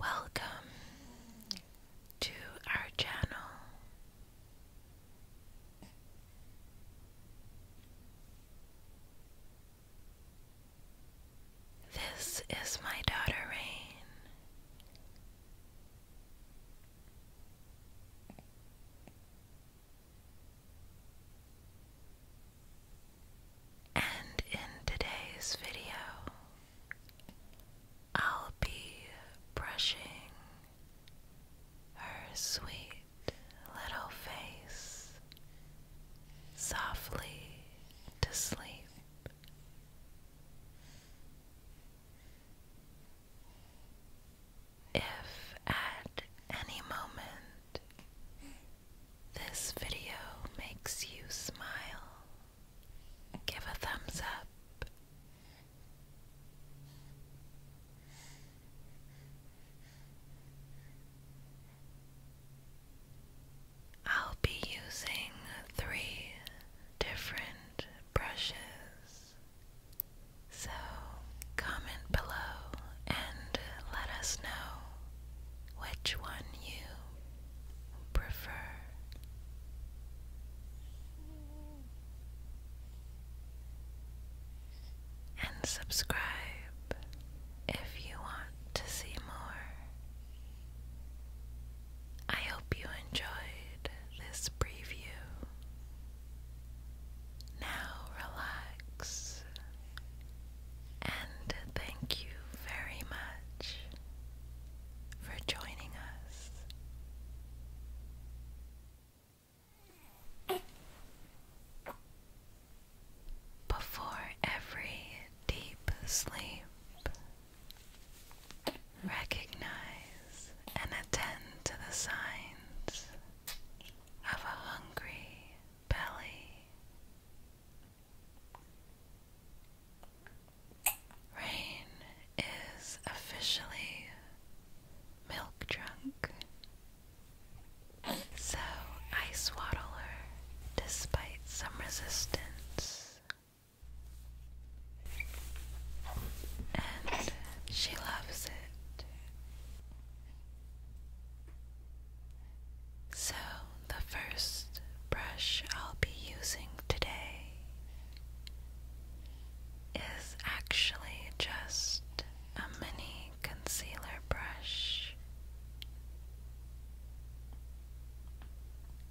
Welcome to our channel. This is my daughter Rain. And in today's video, I'll be brushing her sweet little face softly to sleep. If at any moment this video makes you smile, give a thumbs up. I'll be using three different brushes. So, comment below and let us know which one you prefer. And subscribe if you want to see more. I hope you enjoyed this preview. Now relax and thank you very much for joining us. Before every deep sleep, recognize and attend to the signs of a hungry belly. Rain is officially milk drunk, so I swaddle her despite some resistance, and she loves it. So, the first brush I'll be using today is actually just a mini concealer brush.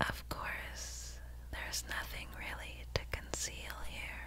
Of course, there's nothing really to conceal here.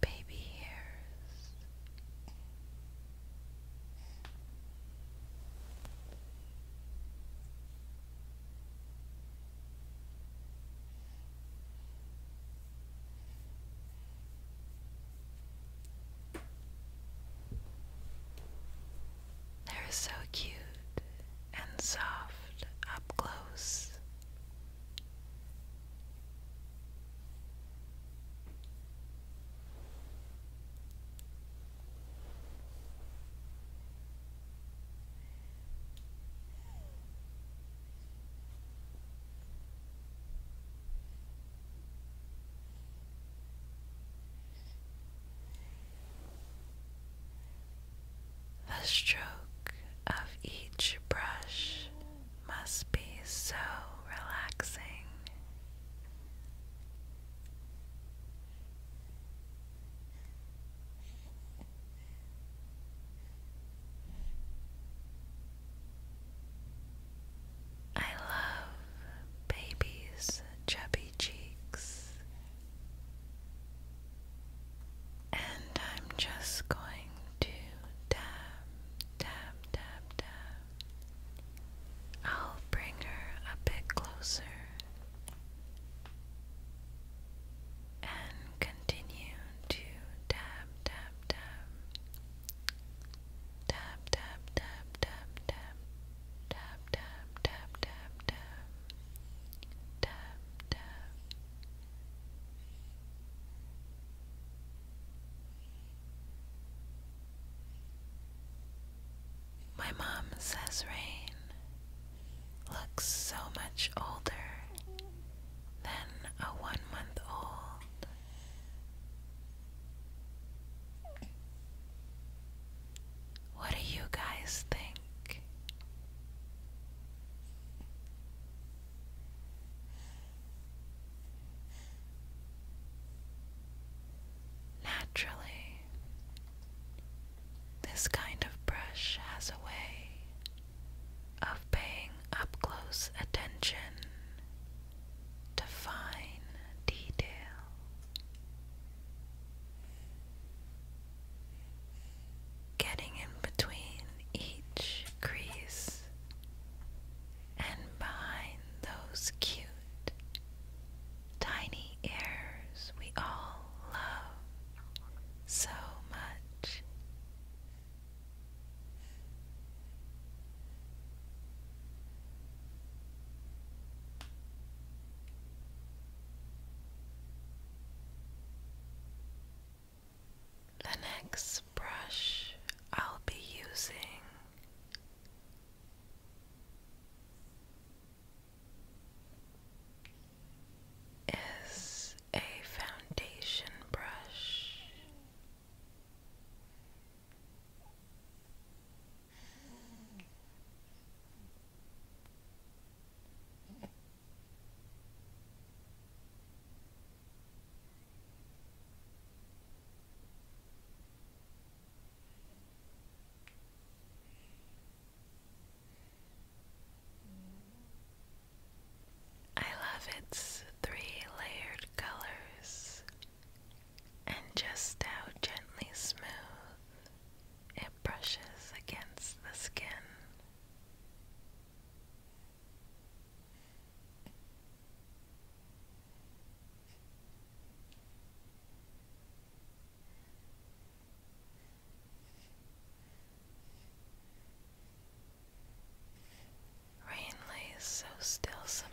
baby hairs. They're so cute and soft up close. The stroke of each brush must be so relaxing. I love babies' chubby cheeks, and I'm just going to tap, tap, tap, tap. I'll bring her a bit closer and continue to tap, tap, tap. Tap, tap, tap, tap, tap. Tap, tap, tap, tap, tap. Tap, tap. My mom says Rain looks so much older than a one month old. What do you guys think? Naturally, this kind of brush has a way of paying up close attention to fine detail. Getting in between each crease and behind those cute tiny ears we all love so much. The next brush I'll be using is a foundation brush. I love its three layered colors and just how gently smooth it brushes against the skin. Rain lays so still sometimes.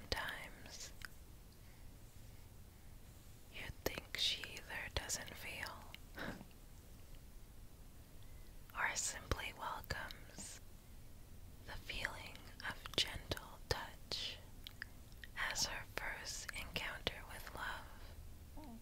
You'd think she either doesn't feel or simply welcomes the feeling of gentle touch as her first encounter with love.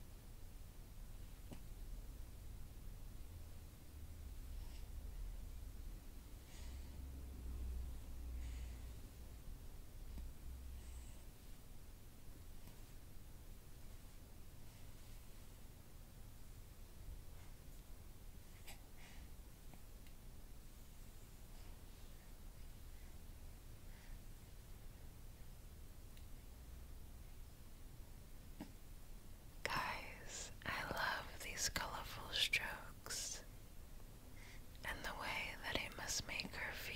Guys, I love these colorful strokes and the way that it must make her feel.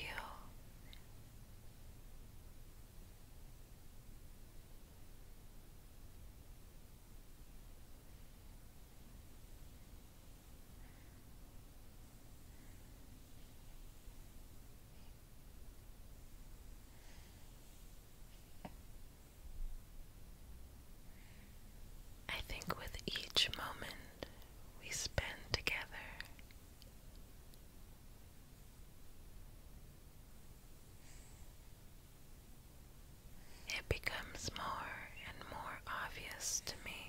I think with each moment we spend together. It becomes more and more obvious to me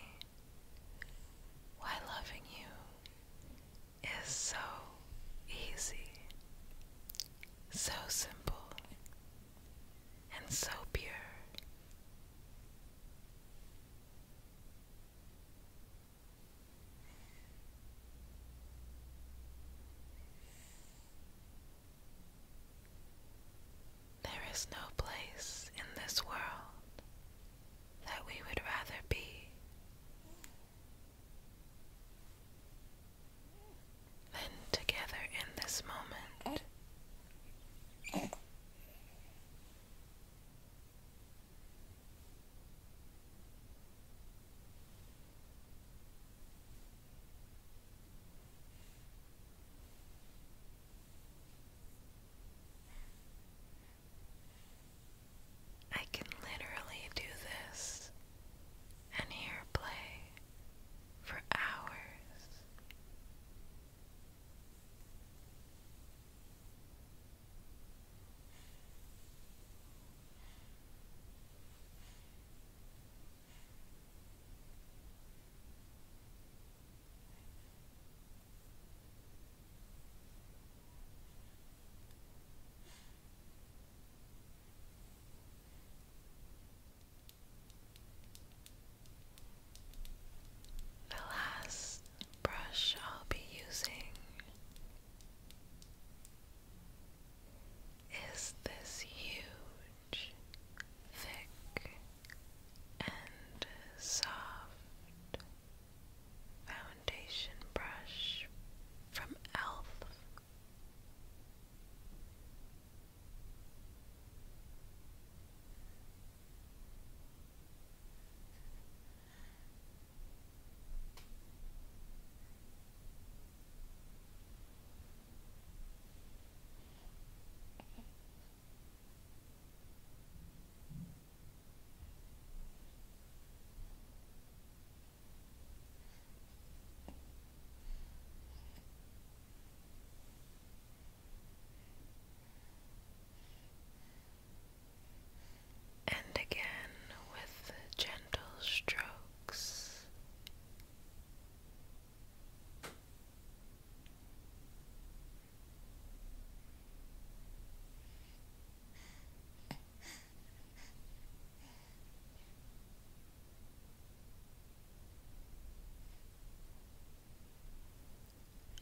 why loving you is so easy, so simple, and so pure. There is no place in this world that we would rather be than together in this moment. I can literally do this and hear play for hours. The last brush I'll be using is this huge thick, and soft foundation brush from e.l.f. And again with gentle strokes,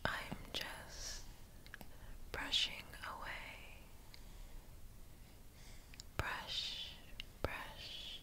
I'm just brushing away. Brush, brush,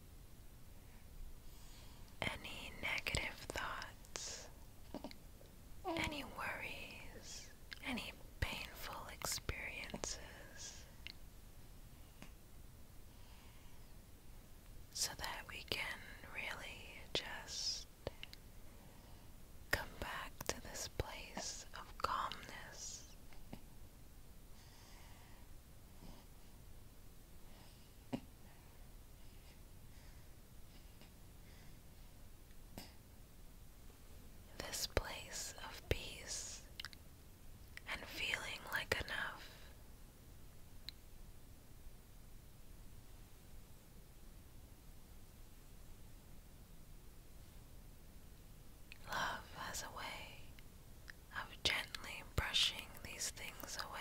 any negative thoughts, any worries, any painful experiences, so that we can really just come back to this place of calmness. This place of peace and feeling like enough. Love has a way of gently brushing these things away.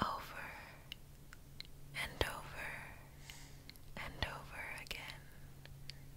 Over and over and over again,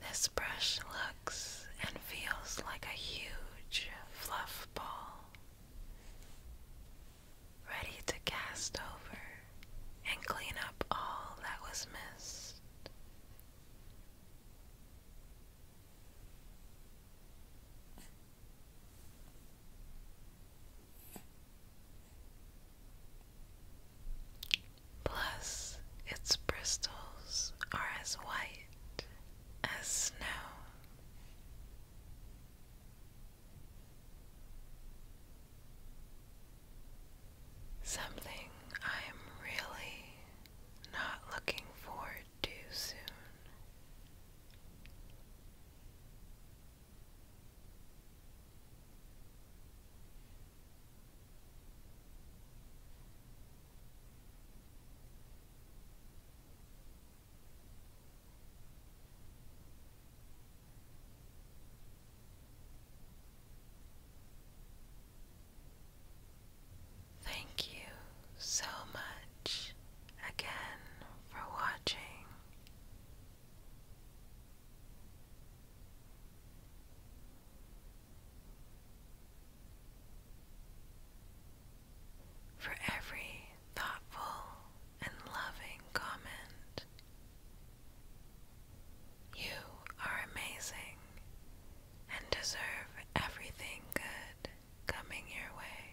this brush looks and feels like a huge fluff ball, ready to cast over and clean up all that was missed. Plus, its bristles are as white as snow. Something I'm really not looking forward to soon. Thank you so much again for watching. For every thoughtful and loving comment, you are amazing and deserve everything good coming your way.